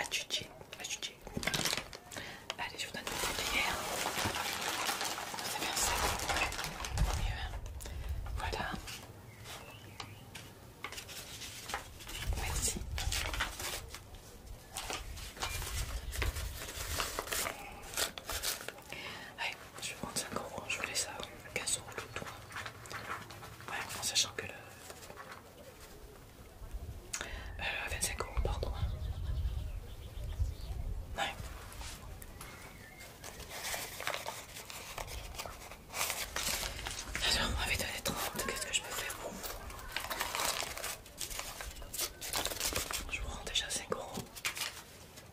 à tchitchi, à Allez, je vous donne une cuillère. C'est bien ça. Voilà. Merci. Allez, je vais prendre 5 euros, je voulais ça, 15 euros tout le Ouais, en sachant que le. Euh, 25 euros, pardon. Hein. Ouais. Alors, on m'avait donné 30, qu'est-ce que je peux faire pour vous Je vous rends déjà 5 euros.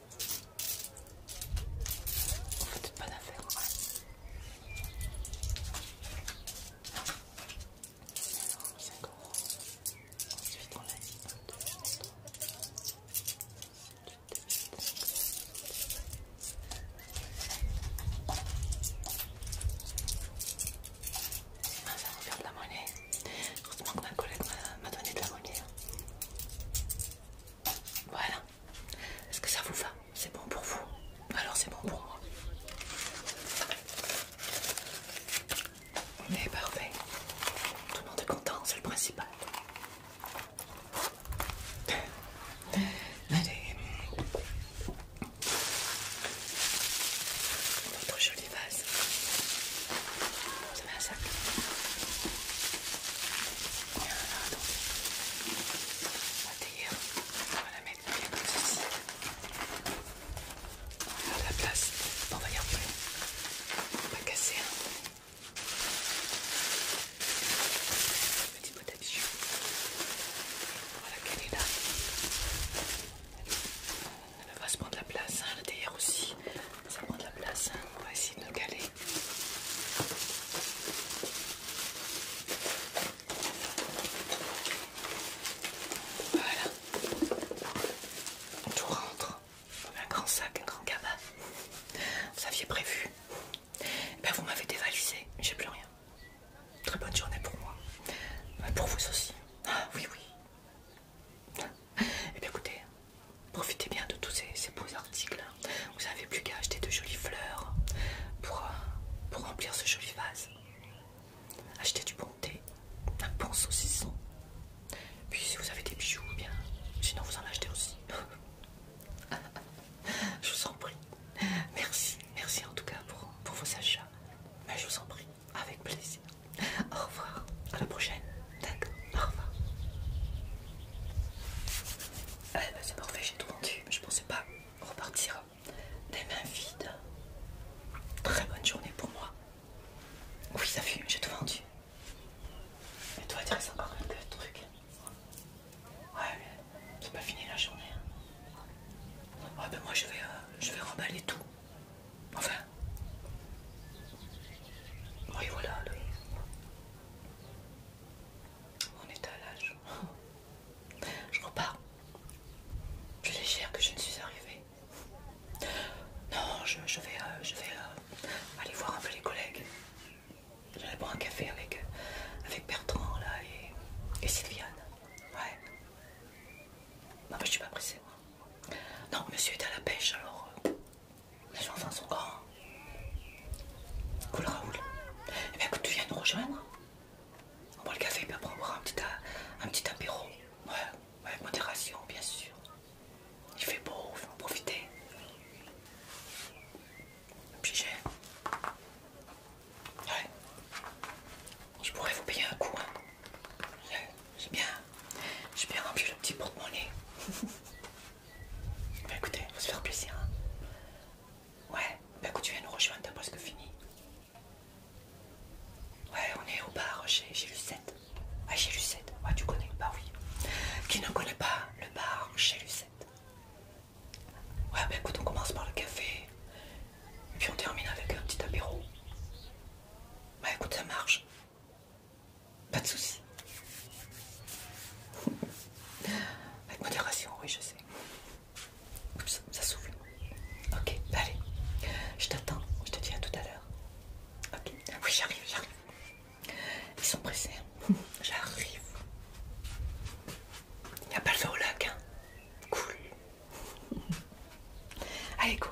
On fait pas on a faire de la monnaie. Heureusement que ma collègue m'a donné de la monnaie. Voilà. Est-ce que ça vous va C'est bon pour vous Alors c'est bon pour moi. On parfait. Tout le monde est content, c'est le principal. Allez. Notre jolie vase de on va la mettre comme ceci. On va la place. on va y arriver. On va casser petit pot Voilà qu'elle est là. Elle va se prendre la place, hein, La derrière aussi ça prend de la place, hein. on va essayer de nous caler. Voilà, tout rentre un grand sac, un grand cabas. Vous aviez prévu, eh ben, vous m'avez dévalisé, j'ai plus rien. Très bonne journée pour moi, ben, pour vous aussi. Ah oui, oui, Et eh bien écoutez, profitez bien de tous ces, beaux articles. Vous n'avez plus qu'à acheter de jolies fleurs euh, pour, remplir ce joli vase. Achetez du bon thé, un bon saucisson. Puis si vous avez des bijoux, eh bien, sinon vous en achetez aussi. je vous en prie. Merci, merci en tout cas pour vos achats. Mais je vous en prie, avec plaisir. Au revoir. À la prochaine. D'accord. Au revoir. Euh, bah, c'est parfait, j'ai tout vendu. Je pensais pas repartir des mains vides. Très bonne journée pour moi. Oui, ça fume, j'ai tout vendu. Mais toi, tu reste encore quelques trucs. Ouais, c'est pas fini la journée. Ah ben moi, je vais, euh, je vais remballer tout. Enfin. Oui, voilà, On est à l'âge. Je repars. Plus légère que je ne suis arrivée. Non, je, vais, je vais euh, euh, aller voir un peu les collègues. Je J'allais boire un café avec, euh, avec Bertrand là et, Sylviane. Ouais. Non, mais je suis pas pressée moi. Non, monsieur est à la pêche alors. Les enfants sont grands. Cool Raoul. Eh bien écoute, tu viens nous rejoindre. On boit le café, puis après on boira un petit, euh, apéro. Ouais, avec modération, bien sûr. Il fait beau, il faut en profiter. Obligé. Ouais. Je pourrais vous payer un coup. Hein. J'ai bien, j'ai bien rempli le petit porte-monnaie. Bah écoutez, on se faire plaisir. Hein. Ouais, Bah écoute, tu viens nous rejoindre, t'as presque fini. Ouais, on est au bar chez, Lucette. Ah, chez Lucette, ouais, ah, tu connais le bar, oui. Qui ne connaît pas le bar chez Lucette Ouais, bah écoute, on commence par le café. Et puis on termine avec un petit apéro. Bah écoute, ça marche. Pas de soucis Avec modération, oui, je sais. Oups, ça souffle. Ok, bah allez. Je t'attends. Je te dis à tout à l'heure. Ok. Oui, j'arrive, j'arrive. Ils sont pressés. Hein. J'arrive. Il n'y a pas le feu au hein. Cool. Allez, go.